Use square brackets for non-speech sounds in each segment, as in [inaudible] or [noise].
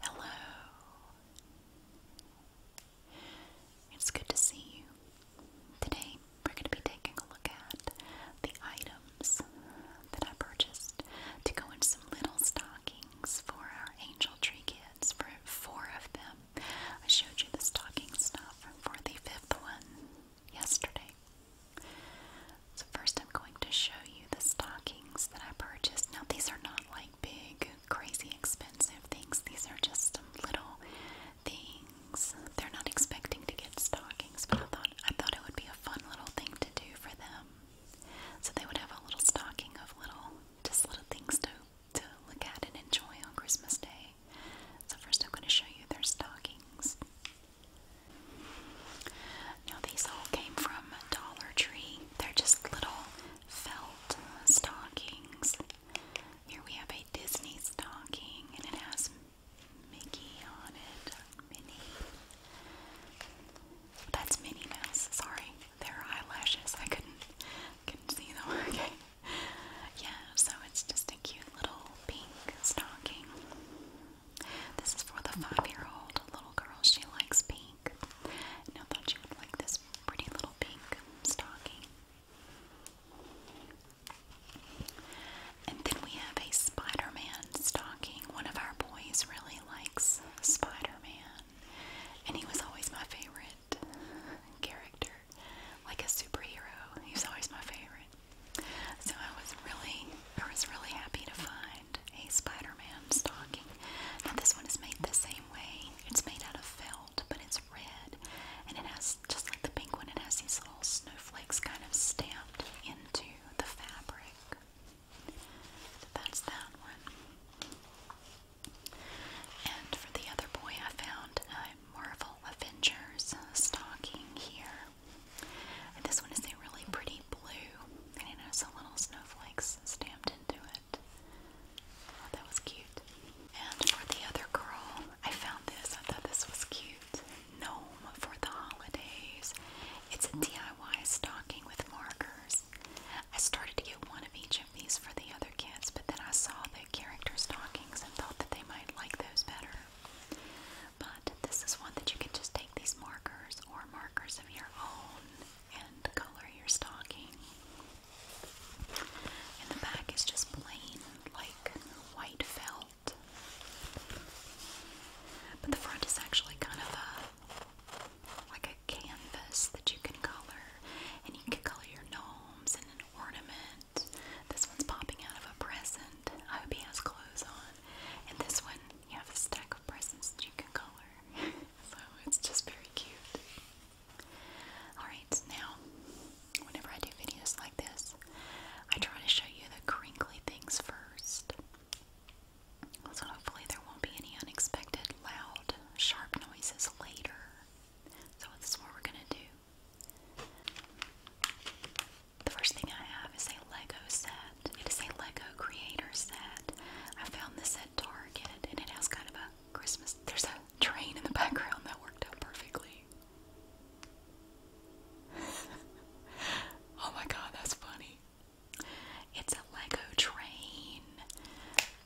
Hello. It's good to see you. Today, we're going to be taking a look at the items that I purchased to go in some little stockings for our angel tree kids. For four of them, I showed you the stocking stuff for the fifth one yesterday. So first I'm going to show you the stockings that I purchased. Now these are not like big, crazy expensive things. These are just little things. They're not expecting to get stockings, but I thought I thought it would be a fun little thing to do for them. So they would have a little stocking of little just little things to to look at and enjoy on Christmas Day. So first I'm going to show you their stockings. Now, these all came from Dollar Tree. They're just little felt stockings. Here we have a Disney stocking, and it has Mickey on it. Minnie. That's Minnie Mouse. Sorry, their eyelashes. I couldn't see them. [laughs] Okay. Yeah, so it's just a cute little pink stocking. This is for the five-year-old little girl. She likes pink. And I thought you would like this pretty little pink stocking. And then we have a Spider-Man stocking. One of our boys really likes Spider-Man. And he was always my favorite character. Like a superhero. He was always my favorite. So I was really, I was really happy to find a Spider-Man stocking. Now this one is made the same way. It's made out of felt, but it's red, and it has just like the pink one. It has these little snowflakes kind of stamped into the fabric. So that's that one. And for the other boy, I found a Marvel Avengers stocking here. And this one is a really pretty blue, and it has a little snowflakes stamped into it. Oh, that was cute. And for the other girl, I found this. I thought this was cute. Gnome for the holidays. It's a DIY stocking with markers. I started to get one of each of these for the other kids, but then I saw the character stockings and thought that they might like those better. But this is one that you can just take these markers or markers of your own and color your stocking. And the back is just plain, like white felt. But the front is actually kind of a like a canvas that you can color, and you can color your gnomes and an ornament. This one's popping out of a present. I hope he has clothes on. And this one you have a stack of presents that you can color. [laughs] so it's just very cute. Alright, now, whenever I do videos like this, I try to show you the crinkly things first. So hopefully there won't be any unexpected loud, sharp noises later. So this is what we're gonna do. The first thing I have is a Lego set. It is a Lego creator set. I found this at Target and it has kind of a Christmas. There's a train in the background that worked out perfectly. [laughs] oh my god, that's funny. It's a Lego train.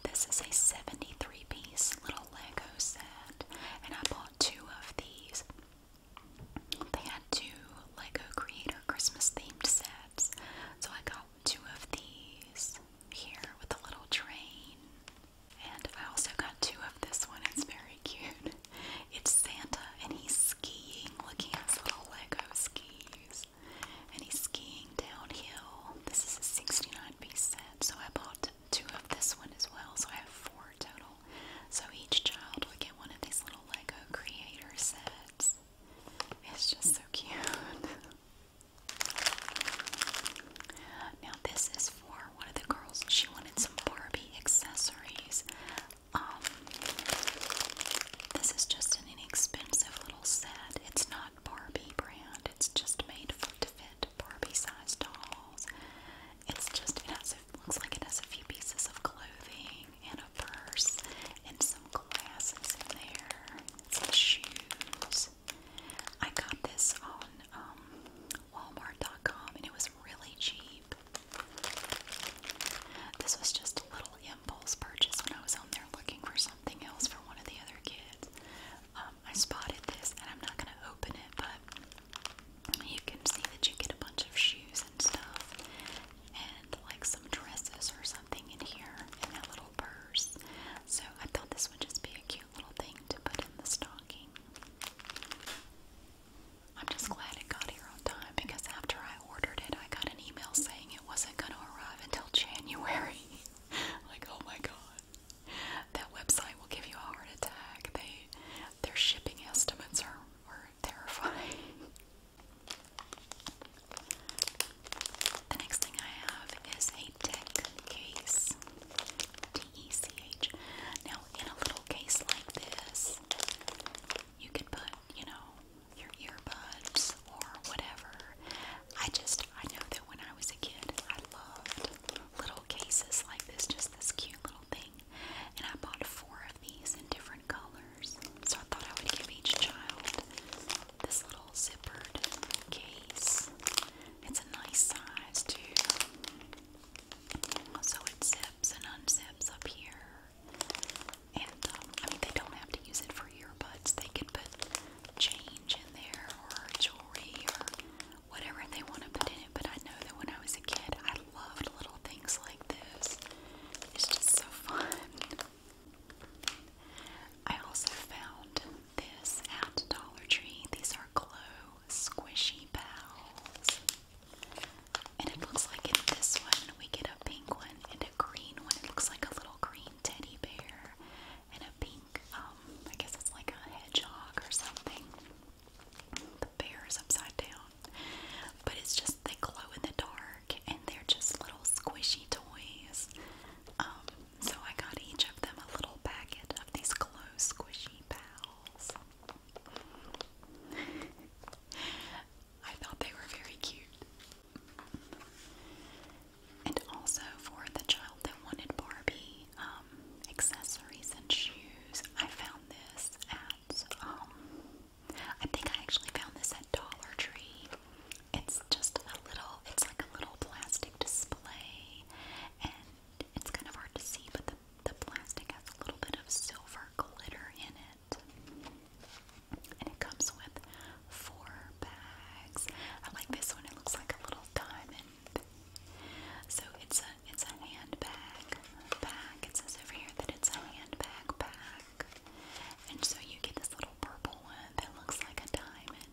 This is a 73 piece little Lego set, and I bought two of these. They had two Lego Creator Christmas themed sets, so I got two of these here with a little train. And I also got two of this one, it's very cute. [laughs] It's Santa and he's skiing, looking at his little Lego skis. And he's skiing downhill. This is a 69 piece set, so I bought two of this one as well, so I have four total. So each child would get one of these little Lego creator sets. It's just so cute. Now this is for one of the girls. She wanted some Barbie accessories. Um, this is just an inexpensive little set. It's not Barbie brand. It's just made to fit Barbie-sized dolls. It's just it Looks like it has a few pieces of clothing and a purse and some glasses in there. Some shoes. I got this on um, Walmart.com and it was really cheap. This was just a little impulse purchase when I was on there looking for something else for one of the other kids. Um, I spotted this and I'm not going to open it, but you can see that you get a bunch of shoes and stuff and like some dresses or something in here in that little purse. So I thought this would just be a cute little thing to put in the stocking. I'm just glad it got here on time because after I ordered it, I got an email saying it wasn't going to arrive until [laughs] January. like, oh my god. That website will give you a heart attack. They, their shipping estimates are, are terrifying. The next thing I have is a tech case. T E C H. Now, in a little case like this, you could put, you know, your earbuds or whatever. I just, I know that when I was a kid, I loved little cases like this, just this cute little thing. And I bought four of these in different colors. So I thought I would give each child this little zippered case. It's a nice size too. So it zips and unzips up here. And um, I mean, they don't have to use it for earbuds. They could put change in there or jewelry or whatever they want to put in it. But I know that when I was a kid, I loved little things like this. It's just so fun. I also found this at Dollar Tree. These are glow squishy pals. And it looks like in this one we get a pink one and a green one. It looks like a little green teddy bear and a pink, um, I guess it's like a hedgehog or something. The bear is upside down. But it's just they glow in the dark and they're just little squishy toys. Um, so I got each of them a little packet of these glow squishy pals. I thought they were very cute. And also for the child that wanted Barbie um, accessories and shoes, I found this at um, I think I actually found this at Dollar Tree. It's just a little, it's like a little plastic display, and it's kind of hard to see, but the, the plastic has a little bit of silver glitter in it. And it comes with four bags. I like this one, it looks like a little diamond. So it's a it's a handbag bag. It says over here that it's a handbag And so you get this little purple one that looks like a diamond,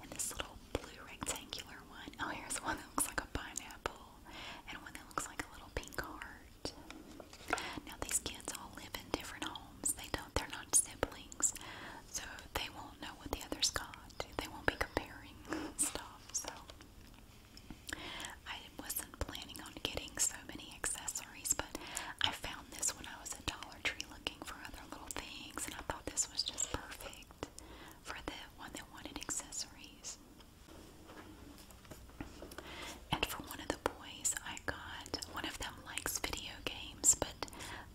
and this little blue rectangular one. Oh, here's one that looks like a pineapple, and one that looks like a little pink heart. Now these kids all live in different homes. They don't. They're not siblings, so they won't know what the others got. They won't be comparing [laughs] stuff. So I wasn't planning on getting so many accessories, but I found this when I was at Dollar Tree looking for other little things, and I thought this was just perfect for the one that wanted accessories. And for one of the boys, I got one of them likes video games, but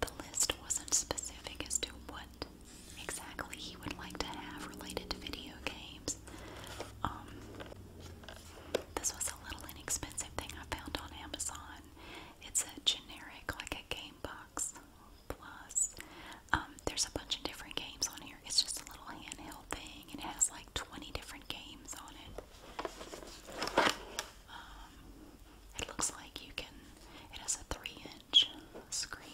the list wasn't specific as to what exactly he would like to have related to video games names. Um, this was a little inexpensive thing I found on Amazon. It's a generic, like a game box. Plus, um, there's a bunch of different games on here. It's just a little handheld thing. It has like 20 different games on it. Um, it looks like you can. It has a three-inch screen.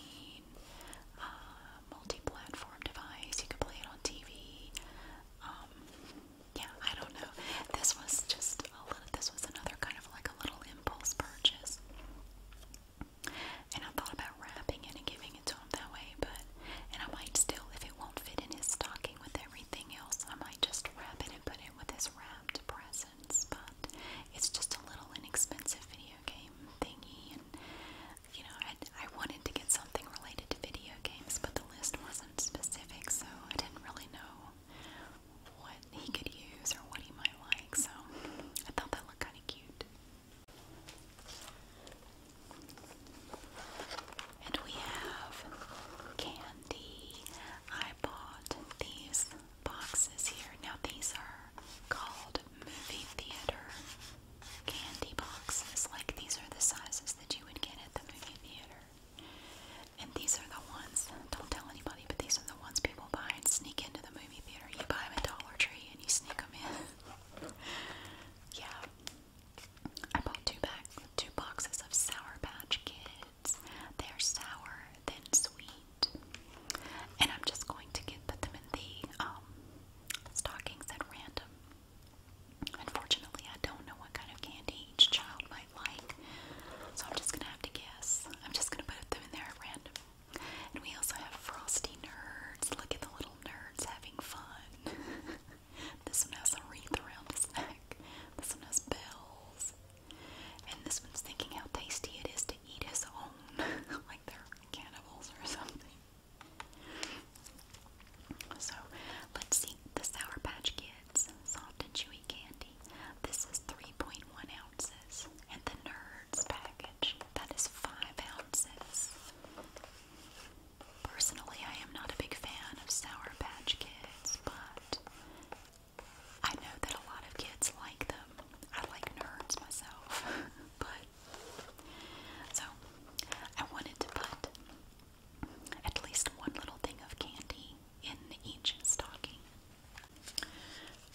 Uh, multi-platform device. You can play it on TV. Um, yeah, I don't know. This was just a little. This was another kind of like a little impulse purchase, and I thought about wrapping it and giving it to him that way. But and I might still, if it won't fit in his stocking with everything else, I might just wrap it and put it with his wrapped presents. But it's just a little inexpensive video game thingy, and you know, I, wanted to get something related to video games, but the list wasn't specific, so I didn't really know what he could use or what he might like, so I thought that looked kind of cute. And we have candy. I bought these boxes here. Now, these are called movie theater candy boxes. Like these are the sizes that you would get at the movie theater. And these are the ones, don't tell anybody, but these are the ones people buy and sneak into the movie theater. You buy them at Dollar Tree and you sneak them in. [laughs] yeah. I bought two, back, two boxes of Sour Patch Kids. They're sour, then sweet. And I'm just going to get, put them in the um, stockings at random. Unfortunately, I don't know what kind of candy each child might like, so I'm just gonna have to guess. I'm just gonna put them in there at random. And we also have frosty nerds. Look at the little nerds having fun. [laughs] this one has a wreath around his neck. This one has bells. And this one's thinking how tasty it is to eat his own, [laughs] like they're cannibals or something. So let's see the Sour Patch Kids soft and chewy candy. This is 3.1 ounces, and the Nerds package that is 5 ounces. Personally, I am not a big fan of Sour Patch Kids, but I know that a lot of kids like them. I like nerds myself, [laughs] but so I wanted to put at least one little thing of candy in each stocking.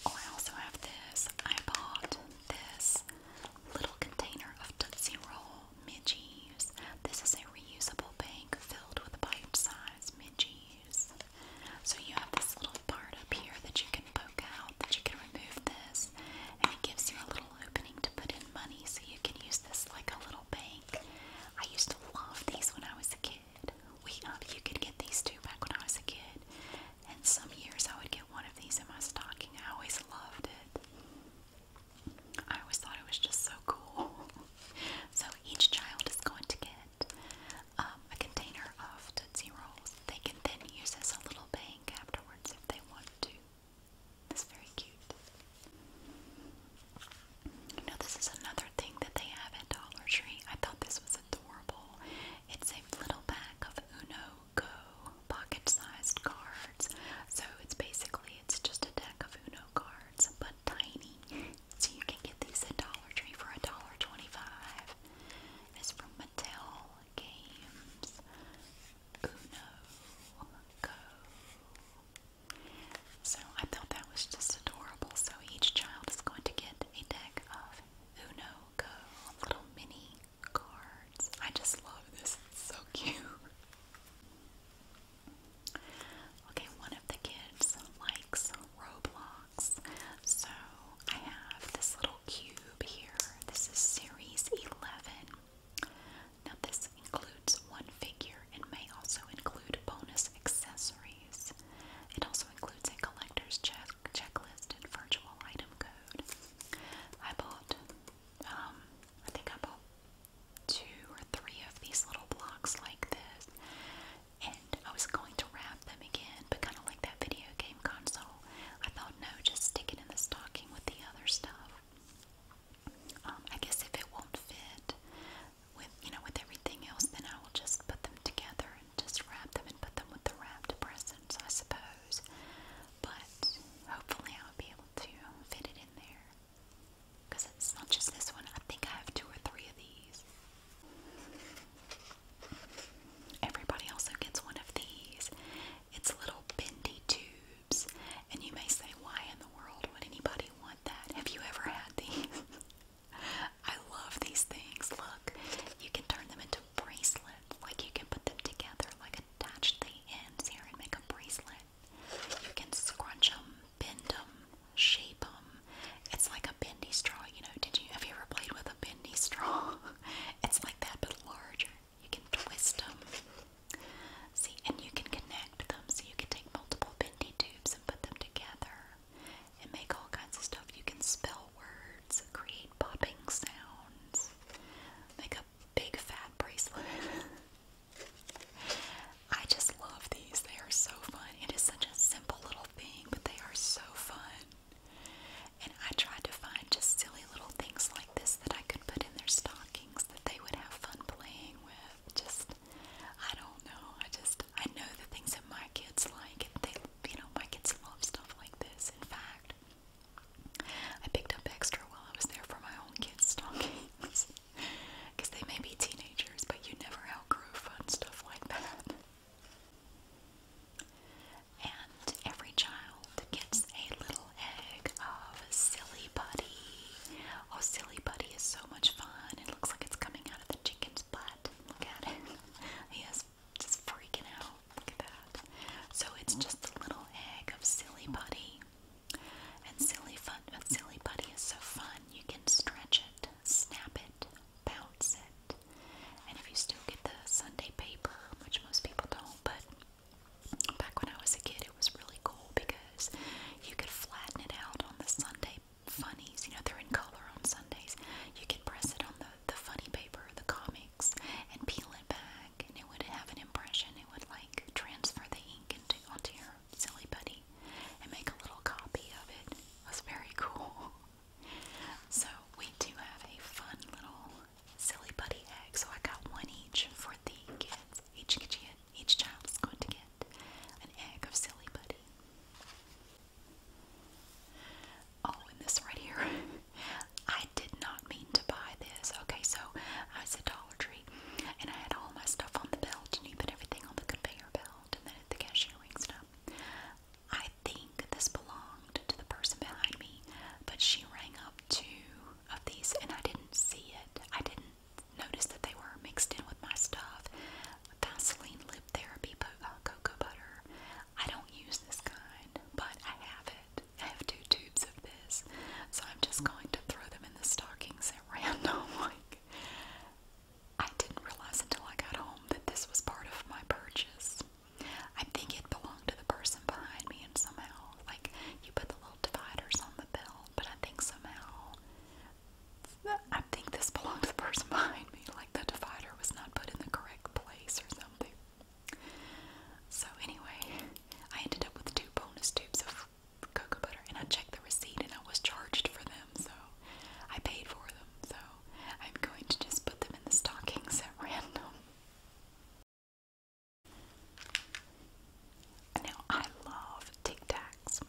Oh, I also have this. I bought this little container of Tootsie Roll midgies. This is a reusable bag filled with bite-sized midgies. So you have this little part up here that you can poke out, that you can remove this, and it gives you a little opening to put in money so you can use this like a little bank. I used to love these when I was a kid. We uh, you could get these too back when I was a kid. And some years I would get one of these in my stocking. I always loved it. I always thought it was just so cool. [laughs] so each child is going to get um, a container of Tootsie Rolls. They can then use as a little bank afterwards if they want to. That's very cute. You this is another thing that they have at Dollar Tree. I thought this was adorable. It's a little pack of Uno Go pocket-sized cards. So it's basically it's just a deck of Uno cards, but tiny. So you can get these at Dollar Tree for a dollar twenty-five. It's from Mattel Games. Uno Go. So I thought that was just adorable. So each child is going to get a deck of Uno Go little mini cards. I just love this. so cute. Okay, one of the kids likes Roblox. So I have this little cube here. This is series 11. Now, this includes one figure and may also include bonus accessories. It also includes a collector's checklist and virtual item code. I bought, um, I think I bought two or three of these little blocks like this, and I was going to wrap them again, but kind of like that video game console, I thought, no, just stick it in the stocking with the other stuff. Um, I guess if it won't fit with, you know, with everything else, then I will just put them together and just wrap them and put them with the wrapped presents, I suppose. But hopefully I'll be able to fit it in there. Because it's not just this one, I think I have two or three of these. Everybody also gets one of these, it's little bendy tubes, and you may say, why in the world would anybody want that? Have you ever had these? [laughs] I love these things. Look, you can turn them into bracelets. Like you can put them together, like attach the ends here and make a bracelet. You can scrunch them, bend them, shape them. It's like a bendy straw, you know. Did you have you ever played with a bendy straw? [laughs] It's like that but larger. You can twist them. See, and you can connect them. So you can take multiple bendy tubes and put them together and make all kinds of stuff. You can spell words, create popping sounds, make a big fat bracelet. [laughs] I just love these. They are so fun. It is such a simple little thing, but they are so fun. And I tried to find just silly little things like like this that I could put in their stockings that they would have fun playing with. Just, I don't know. I just, I know the things that my kids like. They, you know, my kids love stuff like this. In fact, I picked up extra while I was there for my own kids' stockings. Because [laughs] they may be teenagers, but you never outgrow fun stuff like that and every child gets a little egg of Silly Putty. Oh, Silly Putty oh, is so much fun. It looks like it's coming out of the chicken's butt. Look at it. [laughs] he is just freaking out. Look at that. So it's just a little egg of Silly Putty. And silly fun, but silly putty is so fun. You can stretch it, snap it, bounce it, and if you still get the Sunday paper, which most people don't, but Back when I was a kid, it was really cool because you could flatten it out on the Sunday funnies. You know, they're in color on Sundays. You could press it on the, the funny paper, the comics, and peel it back, and it would have an impression. It would like transfer the ink into onto your silly buddy and make a little copy of it. It was very cool. [laughs] So we do have a fun little silly buddy egg. So I got one each for the kids. Each kid, each child's going to get an egg of silly buddy. Oh, and this right here. [laughs] I did not mean to buy this. Okay, so I was at Dollar Tree and I had all my stuff on the belt and you put everything on the conveyor belt and then at the cashiering stuff. I think this belongs to the person behind me, but she rang up two of these and I didn't see it. I didn't notice that they were mixed in with my stuff. Vaseline Lip Therapy uh, Cocoa Butter. I don't use this kind, but I have it. I have two tubes of this, so I'm just going to throw them in the stockings at [laughs] random. I didn't realize until I got home that this was part of my purchase. I think it belonged to the person behind me, and somehow, like, you put the little dividers on the bill, but I think somehow, I think this belonged to the person [laughs] behind me. Like, the divider was not put in the correct place or something. So, anyway, I ended up with two bonus tubes of cocoa butter, and I checked the receipt, and I was charged for them, so I paid for them. So, I'm going to just put them in the stockings at [laughs] random. Now, I love Tic Tacs.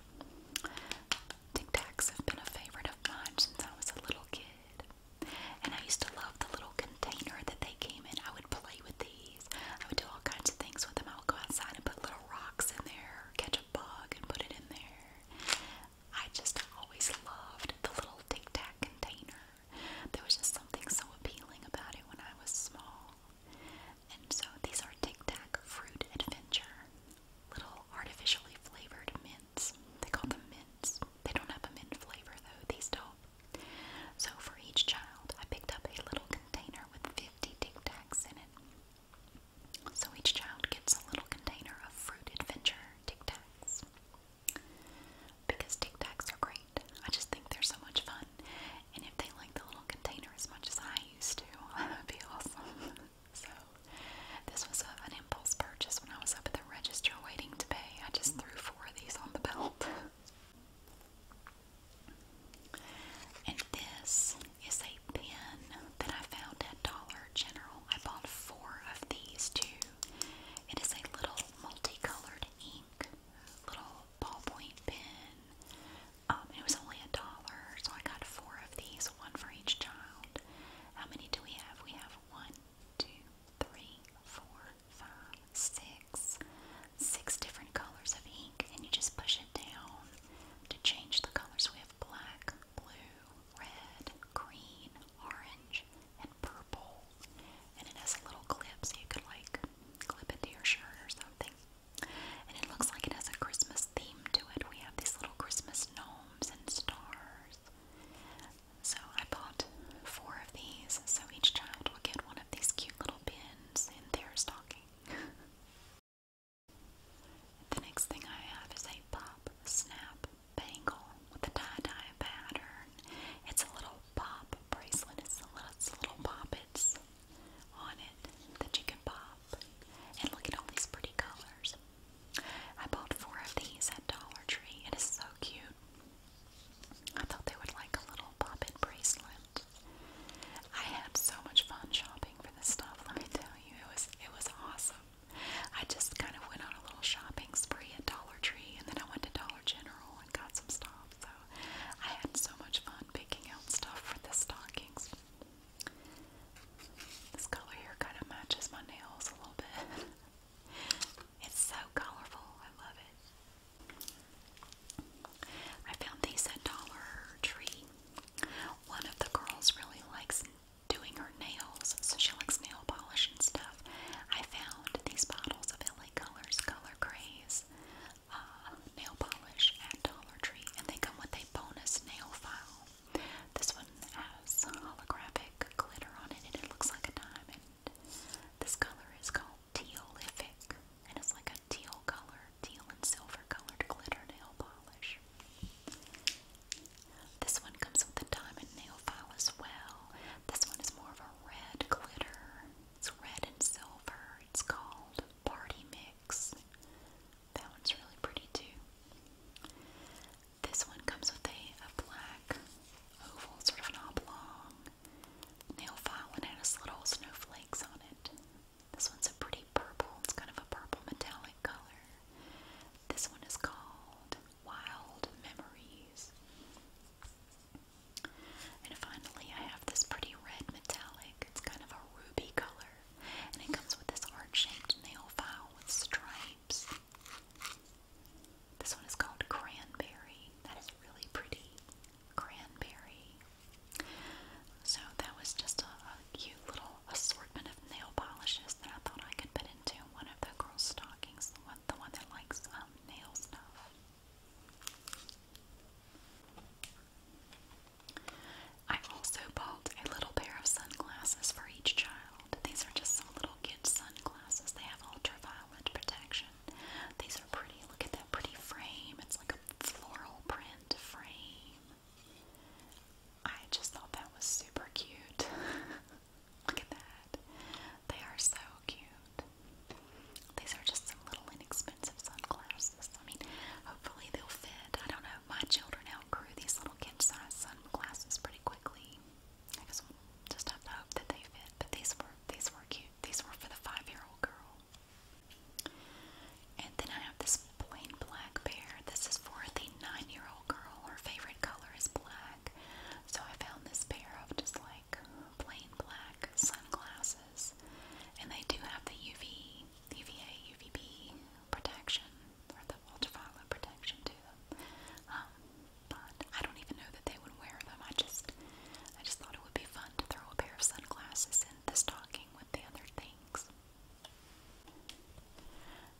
Tic Tacs have been a favorite of mine since I was a little kid. And I used to love the little container that they came in. I would play with these, I would do all kinds of things with them. I would go outside and put little rocks in there, catch a bug, and put it in there. I just always loved the little Tic Tac container. There was just something so appealing about it when I was small. And so these are Tic Tac Fruit Adventure. Little artificially flavored mints. They call them mints. They don't have a mint flavor though, these don't. So for each child, I picked up a little container with 50 Tic Tacs in it. So each child gets a little container of Fruit Adventure Tic Tacs because Tic Tacs are great. I just think they're so much fun, and if they like the little container as much as I used to, [laughs] that would be awesome. [laughs] so, this was an impulse purchase when I was up at the register waiting to pay. I just threw four of these on the belt. [laughs] and this is a pen that I found at Dollar General. I bought four of these too. It is a little multicolored ink little ballpoint pen. Um, it was only a dollar, so I got four of these, one for each child. How many do we have? We have one, two, three, four, five, six, six different colors of ink, and you just push it down to change the colors. We have black, blue, red, green, orange, and purple. And it has a little clip so you could like clip it to your shirt or something. And it looks like it has a Christmas theme to it. We have these little Christmas gnomes and stars. So I bought four of these, so each child will get one of these cute little pins in their stocking. [laughs] the next thing I have is a pop snap bangle with a tie-dye pattern. It's a little pop bracelet. It's a little, it's little poppets on it that you can pop. And look at all these pretty colors. I bought four of these at Dollar Tree. It is so cute. I thought they would like a little pop in bracelet. I had so much fun shopping for this stuff. Let me tell you, it was it was awesome. I just kind of went on a little shopping spree at Dollar Tree, and then I went to Dollar General, and got some stuff. So I had so much fun picking out stuff for the stockings. This color here kind of matches my nails a little bit. [laughs] it's so colorful. I love it. I found these at Dollar Tree. One of the girls really likes doing her nails, so she likes nail polish and stuff. I found these bottles of LA Colors Color Craze uh, nail polish at Dollar Tree, and they come with a bonus nail file. This one has holographic glitter on it, and it looks like a diamond. This color is called Tealific, and it's like a teal color, teal and silver colored glitter nail polish. This one comes with a diamond nail file as well. This one is more of a red glitter. It's red and silver. It's called Party Mix. That one's really pretty too. This one comes with a, black oval, sort of oblong nail file, and has little snowflakes on it. This one's a pretty purple. It's kind of a purple metallic color. This one is called Wild Memories. And finally, I have this pretty red metallic. It's kind of a ruby color. And it comes with this heart shaped nail file with stripes. This one is called Cranberry. That is really pretty. Cranberry. So, that was just a, a cute little assortment of nail polishes that I thought I could put into one of the girls' stockings, the one, the one that likes uh, nail stuff. I also bought a little pair of sunglasses for each child. These are just some little kids' sunglasses. They have ultraviolet protection. These are pretty. Look at that pretty frame. It's like a floral print frame. I just thought that was super cute. [laughs] Look at that. They are so cute. These are just some little inexpensive sunglasses. I mean, hopefully they'll fit. I don't know. My children outgrew these little kid-sized sunglasses pretty quickly. I guess we'll just have to hope that they fit. But these were these were cute. These were for the five-year-old girl. And then I have this plain black pair. This is for the nine-year-old girl. Her favorite color is black. So I found this pair of just like plain black sunglasses, and they do have the UV, UVA, UVB protection or the ultraviolet protection too. Um, but I don't even know that they would wear them. I just, I just thought it would be fun to throw a pair of sunglasses in the stocking with the other things.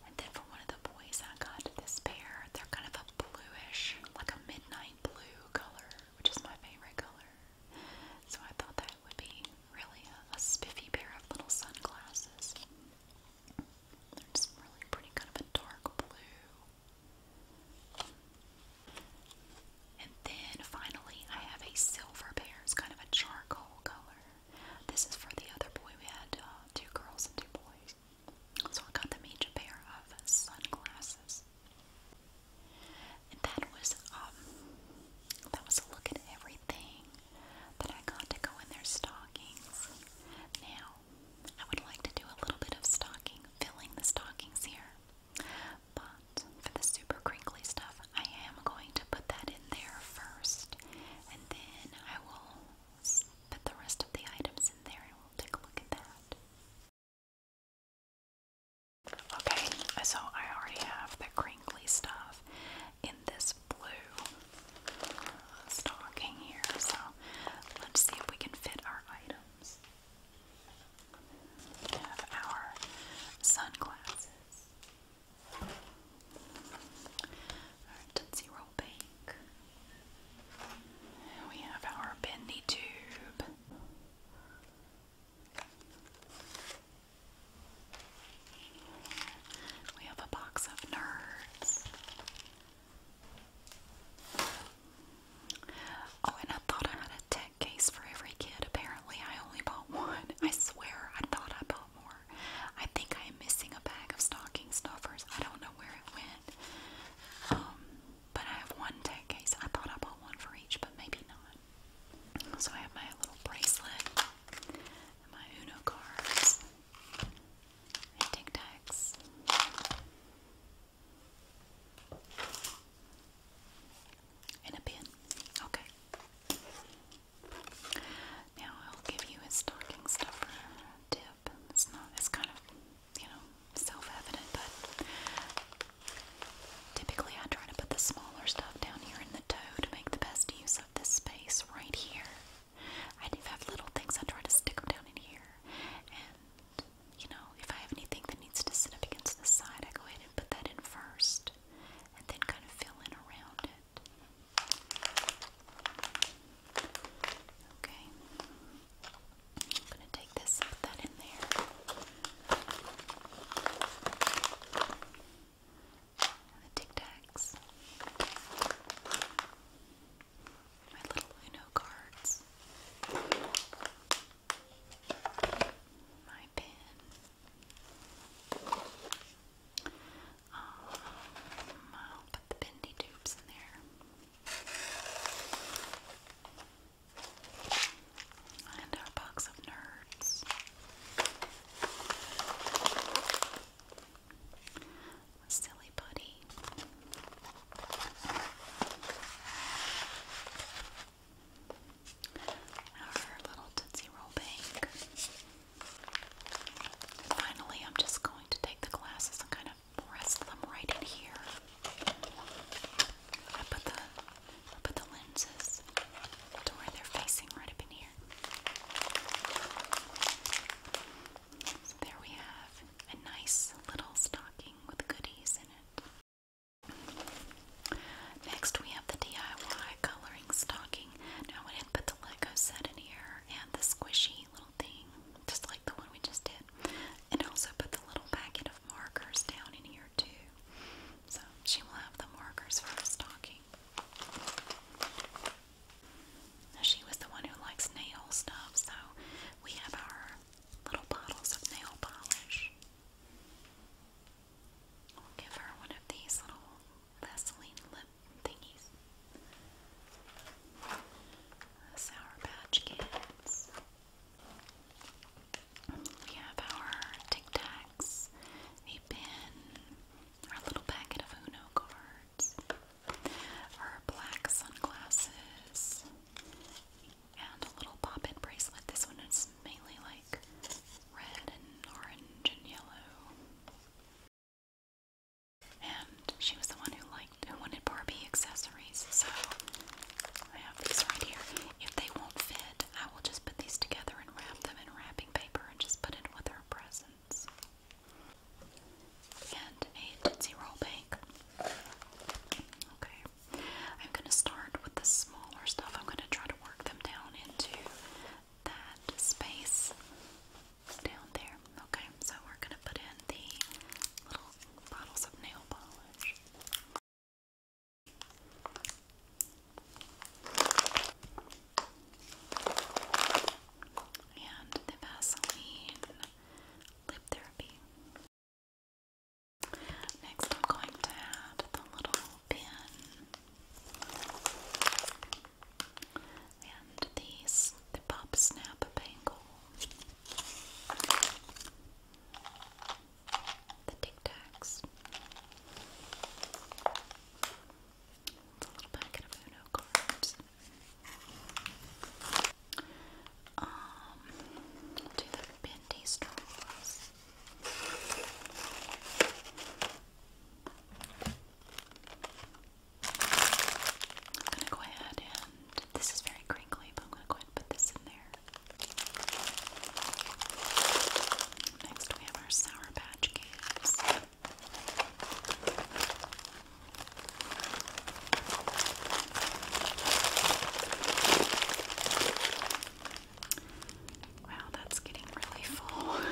And then for one of the boys, I got this pair. They're kind of a bluish, like a midnight blue color, which is my favorite color. So I thought that would be really a, spiffy pair of little sunglasses. They're just really pretty, kind of a dark blue. And then finally, I have a silver pair. It's kind of a charcoal color. This is for the other boy. We had uh, two girls and two boys. So I got them each pair of sunglasses. And that was um that was a look at everything that I got to go in their stockings. Now I would like to do a little bit of stocking, filling the stockings here. But for the super crinkly stuff, I am going to put that in there first. And then I will put the rest of the items in there and we'll take a look at that. Okay, so I already have the crinkly stuff in this blue stocking here, so let's see if we can fit our items. our sunglasses, our Tootsie Roll Bank. We have our bendy tube. We have a box of nerds. Oh, and I thought I had a tech case for every kid. Apparently, I only bought one. I swear, I thought I bought more. I think I am missing a bag of stocking stuffers. I don't know where it went. Um, but I have one tag case. I thought I bought one for each, but maybe not. So I have my little bracelet my Uno cards and Tic Tacs. And a pin. Okay. Now I'll give you a stocking stuffer tip up. It's not, it's kind of, you know, self-evident, but typically I try to put the smaller stuff down here in the toe to make the best use of this space right here. I do have little things, I try to stick them down in here, and, you know, if I have anything that needs to sit up against the side, I go ahead and put that in first, and then kind of fill in around it. Okay. I'm gonna take this put that in there. the Tic Tacs. My little Uno cards. My pin. Um, I'll put the bendy tubes in there. And our box of nerds. Silly Buddy. Our little Tootsie Roll Bank. Finally, I'm just going to take the glasses and kind of press them right in here. i put the i put the lenses to where they're facing right up in here. So there we have a nice little stocking with goodies in it. Next we have the DIY coloring stocking. Now I didn't put the Lego set in here and the squishy little thing, just like the one we just did. And also put the little packet of markers down in here too. So she will have the markers for her she was the one who likes nail stuff, so we have our little bottles of nail polish. I'll give her one of these little Vaseline lip thingies. Sour Patch Kids. We have our Tic Tacs, a pin, our little packet of Uno cards, our black sunglasses, and a little pop-it bracelet. This one is mainly like red and orange and yellow. And she was the one who liked who wanted Barbie accessories, so I have these right here. If they won't fit, I will just put these together and wrap them in wrapping paper and just put it with her presents. And a Tootsie Roll Bank. Okay. I'm gonna start with the smaller stuff. I'm gonna try to work them down into that space down there. Okay, so we're gonna put in the little bottles of nail polish. And the Vaseline Lip Therapy. Next, I'm going to add the little pin and these the Pop Snap Bangle, the Tic Tacs, a little packet of Uno cards. Um, do the bendy straws. I'm gonna go ahead and this is very crinkly, but I'm gonna go ahead and put this in there. Next, we have our Sour Patch Kids. Wow, that's getting really full. [laughs]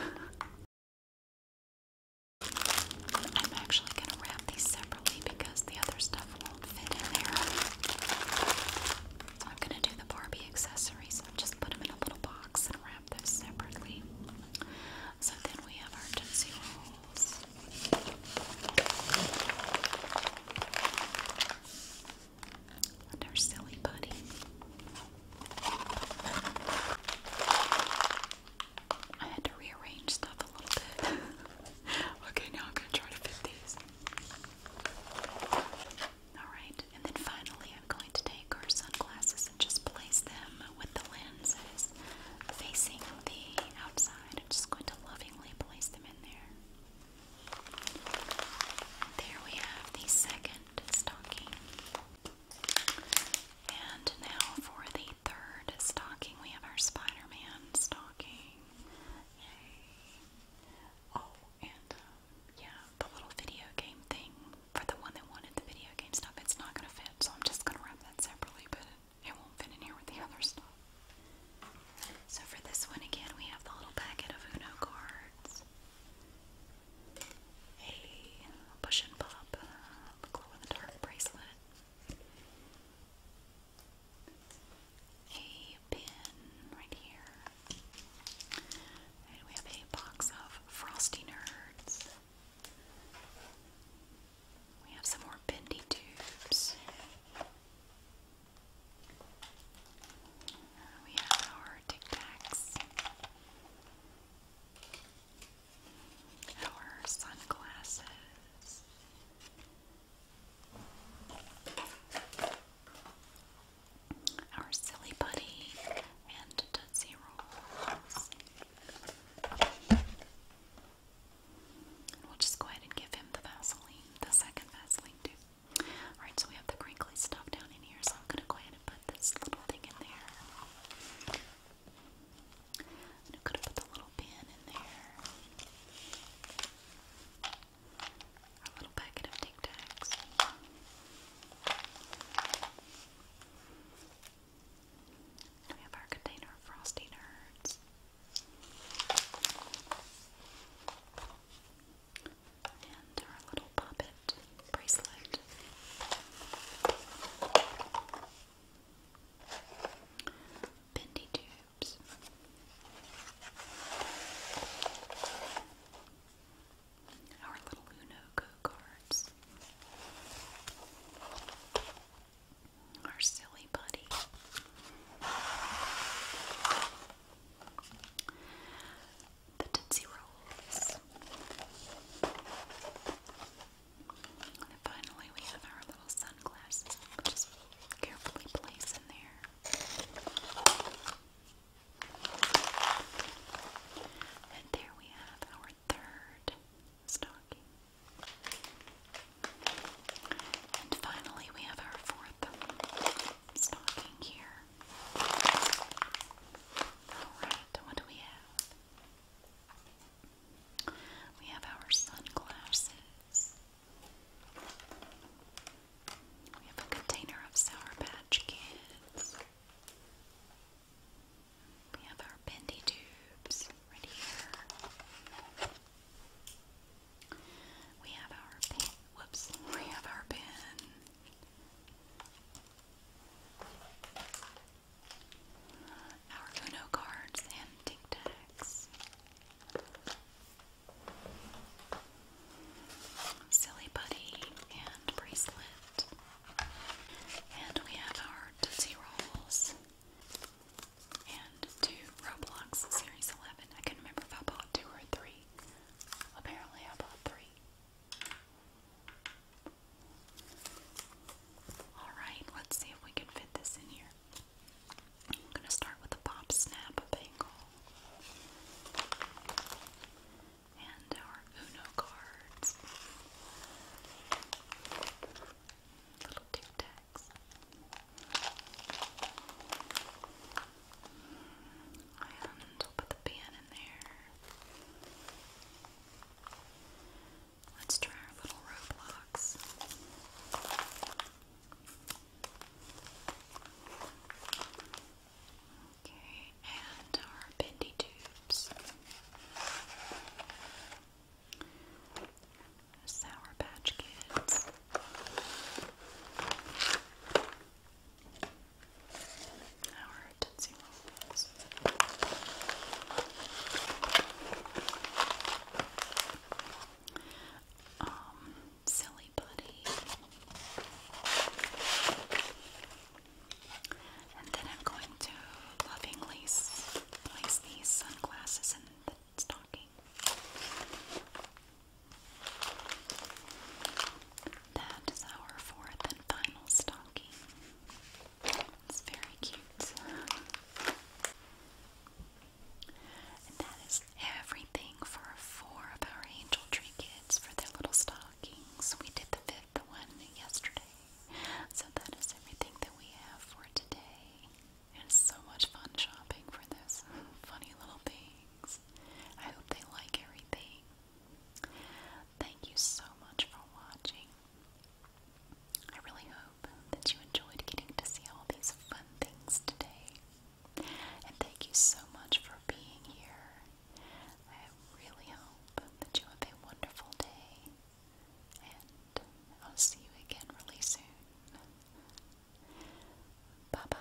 I'm actually going to wrap these separately because the other stuff won't fit in there. So I'm going to do the Barbie accessories and just put them in a little box and wrap those separately. So then we have our Tootsie Rolls. our silly buddy. I had to rearrange stuff a little bit. [laughs] okay, now I'm gonna try to fit these. Alright, and then finally I'm going to take our sunglasses and just place them with the lenses facing the outside. I'm just going to lovingly place them in there. There we have the second stocking. And now for the third stocking, we have our Spider Man stocking. Oh, and uh, yeah, the little video game thing for the one that wanted the video game stuff, it's not going to fit, so I'm just going to wrap that separately, but it won't fit in here with the other stuff. So for this one again, we have the little packet of Uno cards. A push and pop, uh, glow in the dark bracelet, a pin right here. we have a box of Frosty Nerds. We have some more bendy tubes. We have our Tic Tacs our sunglasses. Our silly buddy and Tootsie Rolls. we'll just go ahead and give him the Vaseline, the second Vaseline too. Alright, so we have the crinkly stuff down in here, so I'm gonna go ahead and put this little thing in there. I'm gonna put the little little bin in there. A little packet of Tic Tacs. We have our container of Frosty Nerds. And our little puppet bracelet bendy tubes. Our little Uno cards. Our silly buddy. The Tootsie Rolls. And finally, we have our little sunglasses. just carefully place in there. And there we have our third stocking. And finally, we have our fourth stocking here. Alright, what do we have? We have our sunglasses. We have a container of Sour Patch Kids. We have our bendy tubes right here. We have our pen. Whoops. [laughs] We have our pen our Uno cards and Tic Tacs. Silly Buddy and Bracelet. And we have our Tootsie Rolls and two Roblox Series 11. I couldn't remember if I bought two or three. Apparently I bought three. Alright, let's see if we can fit this in here. I'm going to start with a pop snap bangle and our Uno cards. Little tic tacs. And we'll put the pan in there. Let's try our little roadblocks. Okay, and our bendy tubes. Sour Patch Kids. Our Tootsie Rolls. Um, silly buddy. And then I'm going to lovingly place these sunglasses in the stocking. That is our fourth and final stocking. It's very cute. And that is everything for four of our angel tree kids for their little stockings. We did the fifth one yesterday. So that is everything that we have for today. It is so much fun shopping for those [laughs] funny little things. I hope they like everything. Thank you so much for watching. I really hope that you enjoyed getting to see all these fun things today. And thank you so much for being here. I really hope that you have a wonderful day. And I'll see you again really soon. Bye bye.